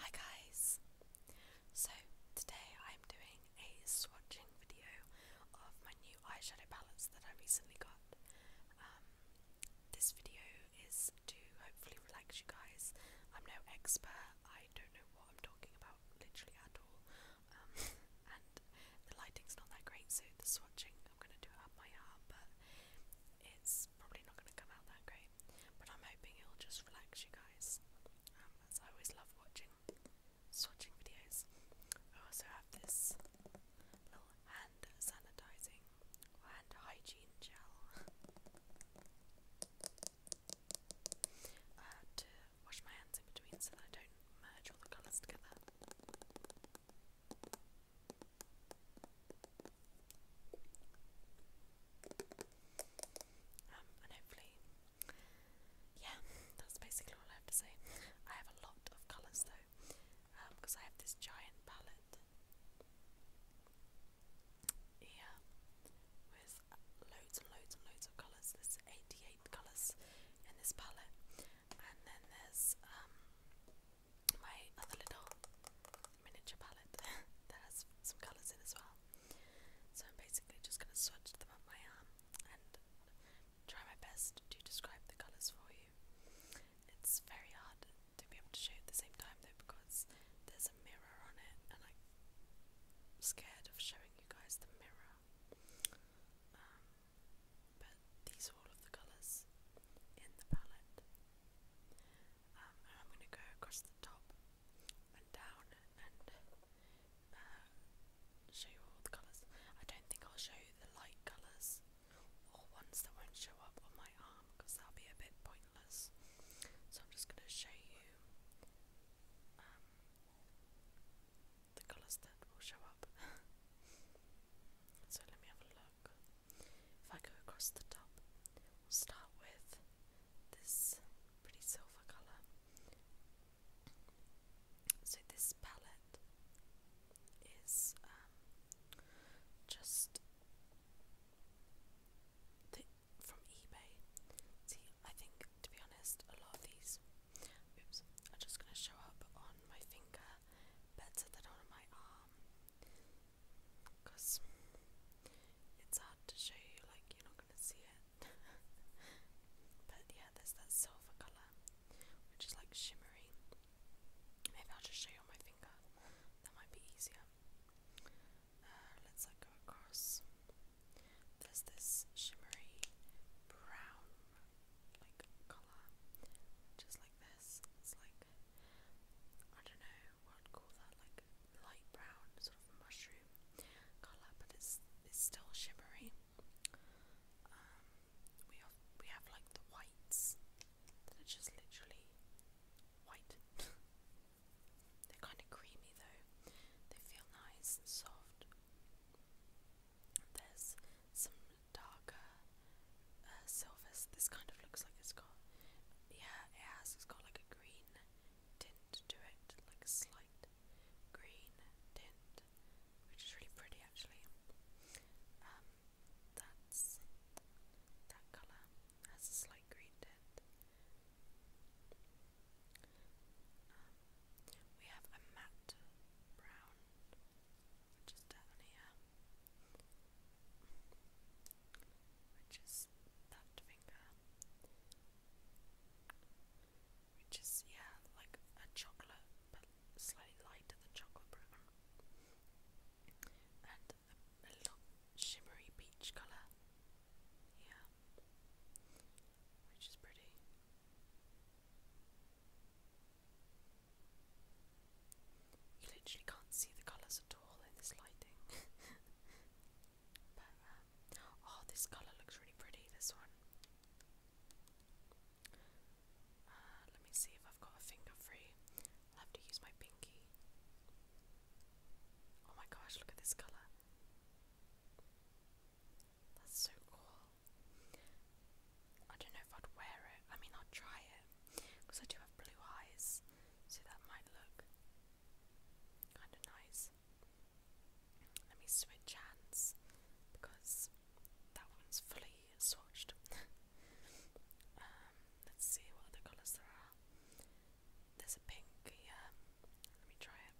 Hi guys! So today I'm doing a swatching video of my new eyeshadow palettes that I recently got. Um, this video is to hopefully relax you guys. I'm no expert, I don't know what I'm talking about literally at all. Um, and the lighting's not that great so the swatching I'm going to do it up my arm but it's probably not going to come out that great, but I'm hoping it'll just relax you guys. Um, as I always love watching swatching videos. I also have this little hand sanitizing or hand hygiene gel uh, to wash my hands in between so that I don't merge all the colours together. Um, and hopefully, yeah, that's basically all I have to say. I have a lot of colours though, because um, I have this giant palette here with loads and loads and loads of colours. There's 88 colours in this palette, and then there's um, my other little miniature palette that has some colours in as well. So I'm basically just going to swatch them up my arm and try my best to describe the colours for you. It's very hard to be able to show at the same time though because there's a mirror on it and I'm scared of showing you guys the mirror. Um, but these are all of the colours in the palette. Um, I'm going to go across the top and down and uh, show you all the colours. I don't think I'll show you the light colours or ones that won't show up on my arm because that'll be a bit pointless. So I'm just going to show you um, the colours that will show up. so let me have a look. If I go across the top, start with this pretty silver colour. So this palette is um, just from eBay. See, I think to be honest, a lot of these, are just going to show up on my finger better than on my arm because it's hard to show you, like, you're not gonna see it. but yeah, there's that silver colour, which is like shimmery. Maybe I'll just show you on my finger, that might be easier. Uh, let's go across. There's this shimmery brown like colour, just like this. It's like I don't know, I'd call that like light brown sort of mushroom colour, but it's it's still shimmery. Um, we have we have like the whites that are just literally white. They're kind of creamy though. They feel nice and soft. There's some darker uh, This kind of looks like it's got, yeah, it has. It's got like a green tint to it, like a slight green tint, which is really pretty actually. Um, that's that colour has a slight green tint. Um, we have a matte brown, which down here which is that finger, which is, yeah, like a chocolate, but slightly lighter than chocolate brown, and a, little shimmery peach colour, yeah, which is pretty. You literally can't see the colours at all in this lighting. but, um, oh, this colour looks really pretty, this one. Uh, let me see if I've got a finger free. I'll have to use my pinky. Oh my gosh, look at this colour. That's so cool. I don't know if I'd wear it. I mean, I'd try it because I do have blue eyes, so that might look kind of nice. Let me switch hands because that one's fully swatched. um, let's see what other colours there are. There's a pink here. Um, let me try it.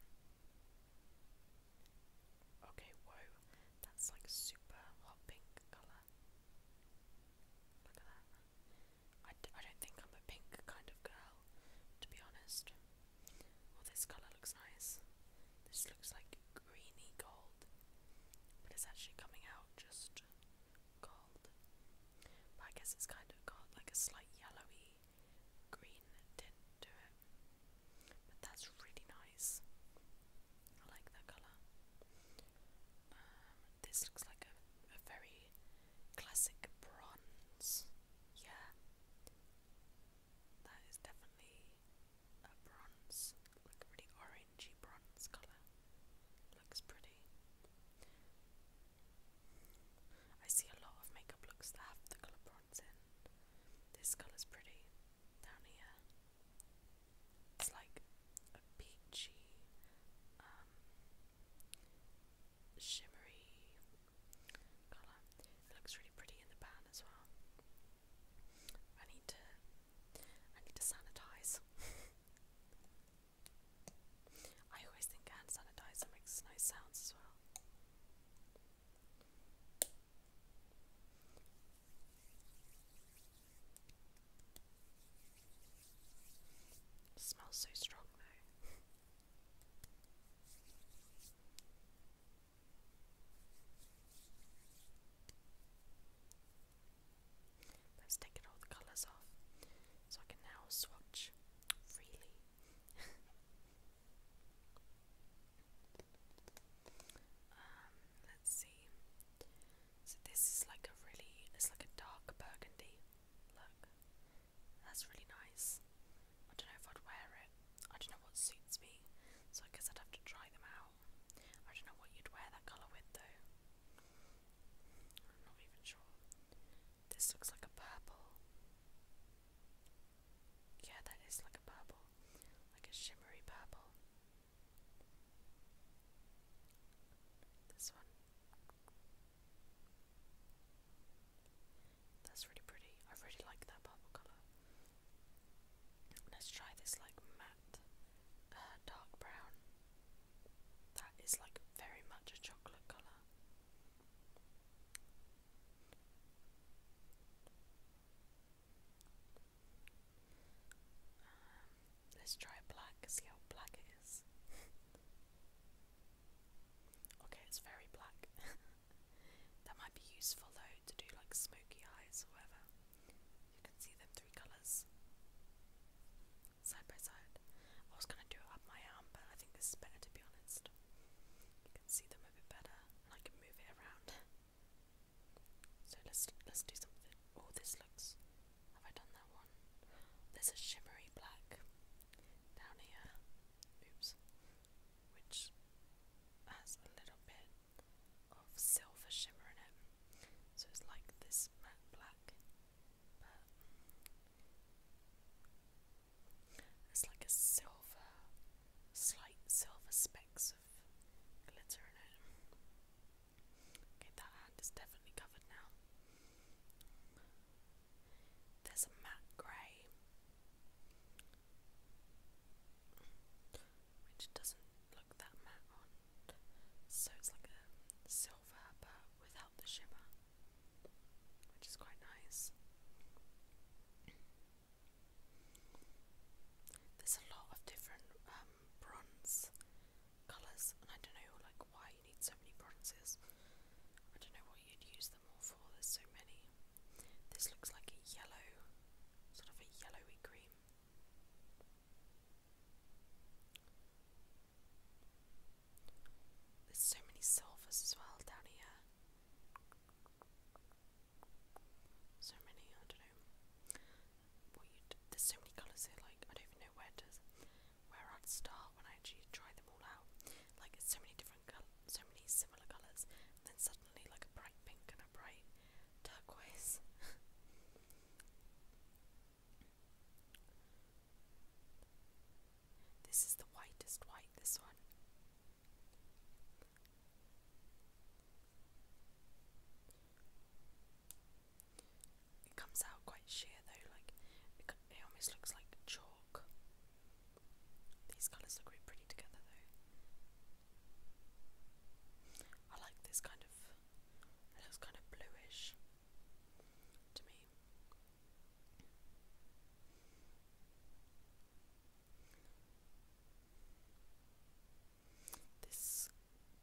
Okay, whoa, that's like super hot pink colour. Look at that. I, d I don't think I'm a pink kind of girl, to be honest. Well, this colour looks nice. This looks like greeny gold, but it's actually coming out just gold. But I guess it's kind of got like a slight yellowy green tint to it. But that's really nice. I like that colour. Um, this looks like a, very classic bronze. Yeah, that is definitely a bronze, like a really orangey bronze colour. Looks pretty. I see a lot of makeup looks that have the colour bronze in. This colour's pretty down here it's like a peachy, um, shimmery colour. It looks really pretty in the pan as well. I need to, I need to sanitize. I always think hand sanitizer makes nice sounds as well smells so strong though. Let's take all the colours off so I can now swatch freely. um, let's see. So this is like a really, it's like a dark burgundy look. That's really nice. I don't know if I'd wear it. I don't know what suits me, so I guess I'd have to try them out. I don't know what you'd wear that colour with though. I'm not even sure. This looks like a purple. Yeah, that is like a purple. Like a shimmery purple. This one. That's really pretty. I really like that purple colour. Let's try this like matte uh, dark brown. That is like very much a chocolate colour. Um, let's try black, see how black it is. okay, it's very black. that might be useful though to do like smoky eyes or whatever. You can see them three colours side by side. I was gonna do it up my arm, but I think this is better to be honest. You can see them a bit better and I can move it around. So let's let's do something. Oh, this looks. Have I done that one? There's a shimmery black down here. Oops, which has a little bit of silver shimmer in it. So it's like this matte black, but it's like a silver, slight silver specks of glitter in it. Okay, that hand is definitely covered now. There's a matte grey, which doesn't look that matte so it's like a silver but without the shimmer, which is quite nice. There's a lot of different um, bronze colours, and I don't know like why you need so many bronzes. I don't know what you'd use them all for. There's so many. This looks like a yellow, sort of a yellowy cream. There's so many silvers as well down here so many, I don't know there's so many colours here, like I don't even know where to where I'd start when I actually try them all out. Like so many different colours, so many similar colours, then suddenly like a bright pink and a bright turquoise. This is the whitest white, this one. It comes out quite sheer though, like it, almost looks like chalk. These colours look really pretty together though. I like this kind of, it looks kind of bluish to me. This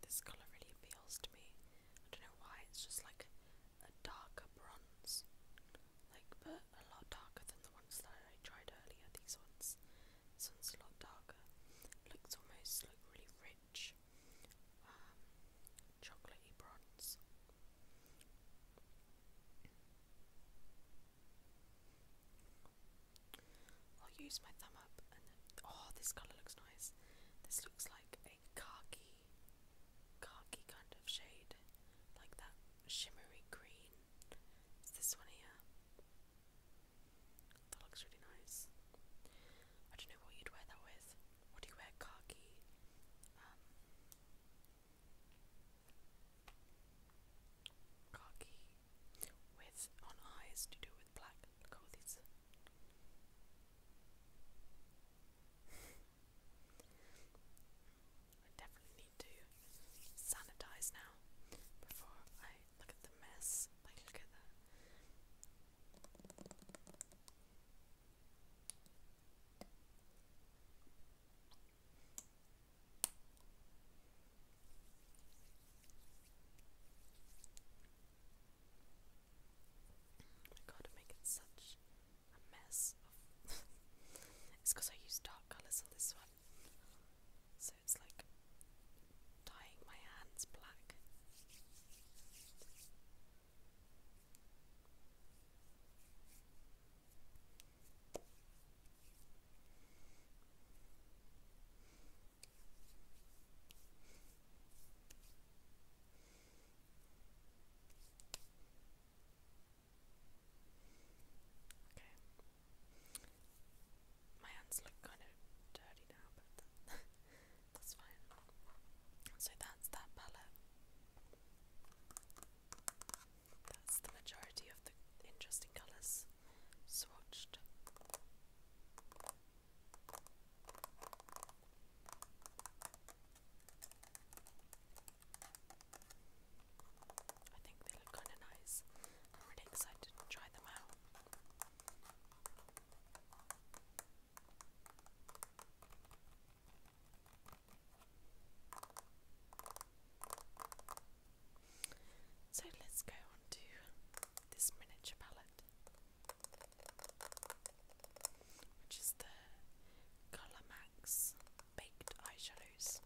this colour really appeals to me. I don't know why, it's just like a darker bronze. Like but a lot darker than the ones that I tried earlier, these ones. This one's a lot darker. looks almost like really rich. Um chocolatey bronze. I'll use my thumb up oh, this colour looks nice. This looks like a khaki, khaki kind of shade, like that shimmery green. It's this one here. That looks really nice. I don't know what you'd wear that with. What do you wear, khaki? Um, khaki with on eyes to do with black coats. I definitely need to sanitize now before I look at the mess. look at that. I gotta make it such a mess it's because I use dark colours on this one. So it's like dyeing my hands black. Okay. My hands look kind of dirty now, but that's fine. So that's that palette. That's the majority of the interesting colours swatched. I think they look kind of nice. I'm really excited to try them out. So let's go on to this miniature palette, which is the Colour Baked Eyeshadows.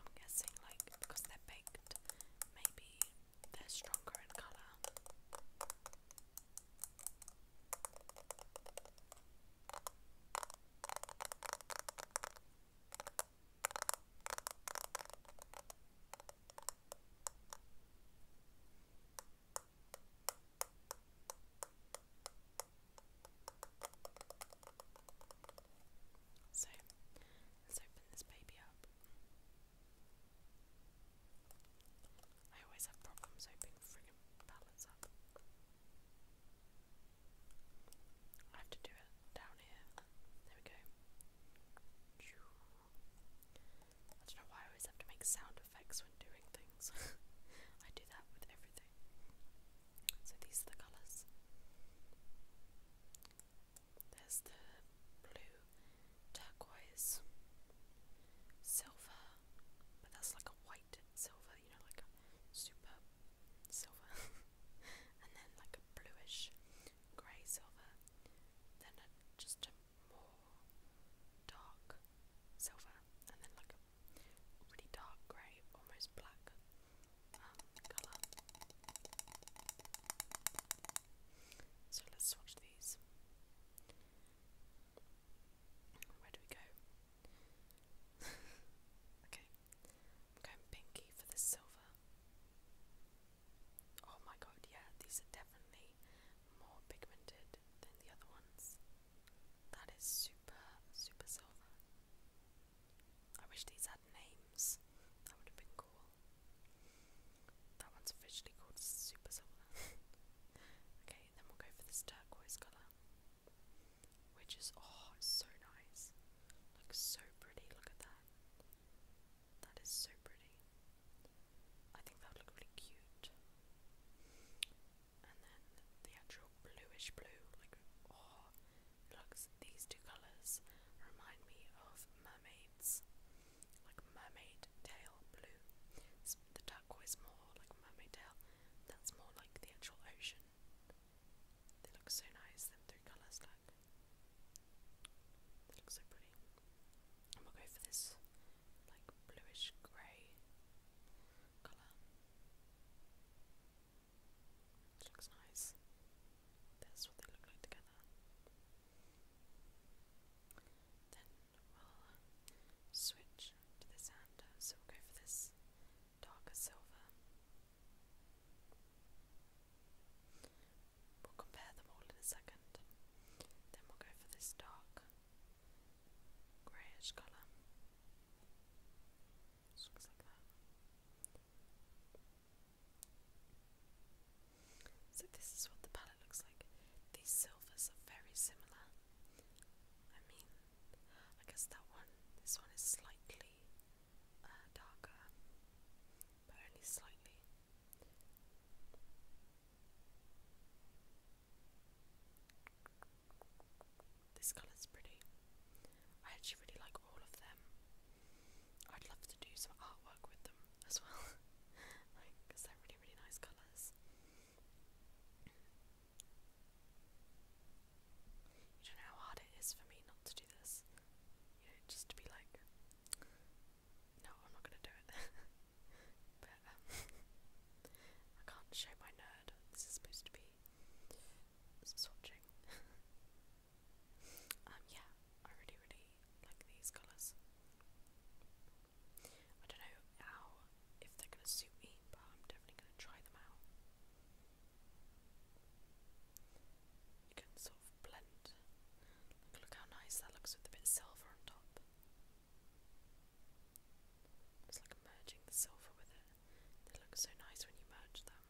I'm guessing, like, because they're baked, maybe they're stronger in colour. So let's open this baby up. I always have problems opening friggin' pallets up. I have to do it down here. There we go. I don't know why I always have to make sound effects when doing things. I do that with everything. So these are the colours. There's the blue, turquoise, silver, but that's like a white silver, you know, like super silver, and then like a bluish grey silver, then a, just a more dark silver, and then like a really dark grey, almost black um, colour. So let's swatch these. Where do we go? okay. I'm going pinky for the silver. Oh my god, yeah, these are definitely more pigmented than the other ones. That is super, super silver. I wish these had names. That would have been cool. That one's officially called Super Silver. okay, then we'll go for this turquoise colour. Which is, oh, so nice. Looks so pretty, look at that. That is so pretty. I think that would really cute. And then the actual bluish blue, like, oh, looks, these two colours remind me of mermaids. Like mermaid tail blue. the turquoise more like mermaid tail. That's more like the actual ocean. They look so nice, them three colours, like. They look so pretty. And we'll go for this, like, bluish grey colour. looks nice. That's what they look like together. Then we'll switch to this hand, so we'll go for this darker silver. We'll compare them all in a second. Then we'll go for this dark greyish colour. So this is what the palette looks like. These silvers are very similar. I mean, I guess that one, this one is slightly uh, darker, but only slightly. This colour's pretty. I actually really like all of them. I'd love to do some artwork with them as well, like, they're really, really nice colours. You don't know how hard it is for me not to do this. just to be like, no, I'm not gonna do it. but um, I can't show my nerd. This is supposed to be swatching. um, yeah, I really, really like these colours. I don't know how if they're gonna suit me, but I'm definitely gonna try them out. You can sort of blend. Look, how nice that looks with a bit silver on top. It's like merging the silver with it. They look so nice when you merge them.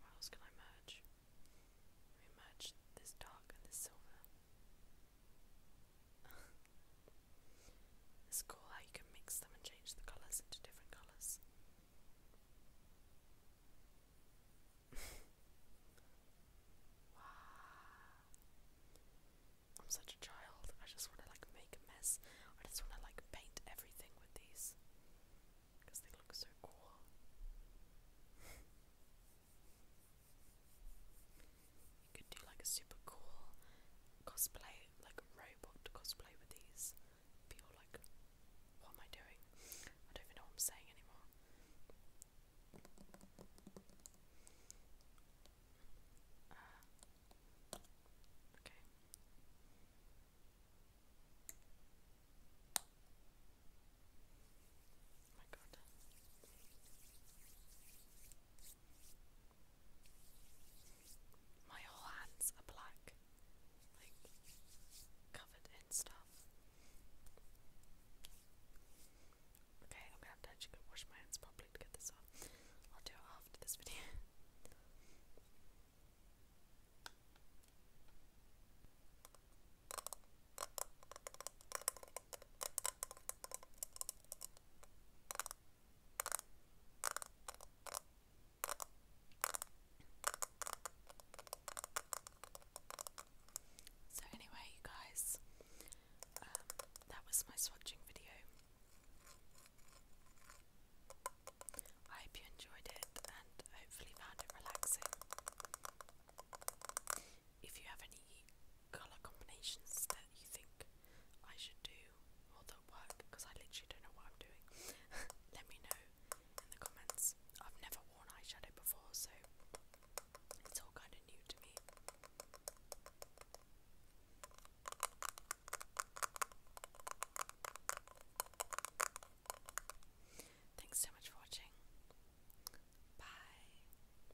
What else can I merge? merge this dark and this silver it's cool how you can mix them and change the colours into different colours. I'm such a child. I just want to like make a mess. I just want to like paint everything with these because they look so cool. You could do like a super cool cosplay, like a robot cosplay with these. People like, what am I doing? I don't even know what I'm saying anymore. Uh, okay. Oh my god. My whole hands are black, like covered in stuff. Okay, I'm gonna have to go wash my hands properly to get this off. I'll do it after this video. So anyway, guys, um, that was my swatching video. I hope you enjoyed it and hopefully found it relaxing. If you have any colour combinations that you think I should do or that work, because I literally don't know what I'm doing, let me know in the comments. I've never worn eyeshadow before, so it's all kind of new to me. Thanks so much for watching. Bye.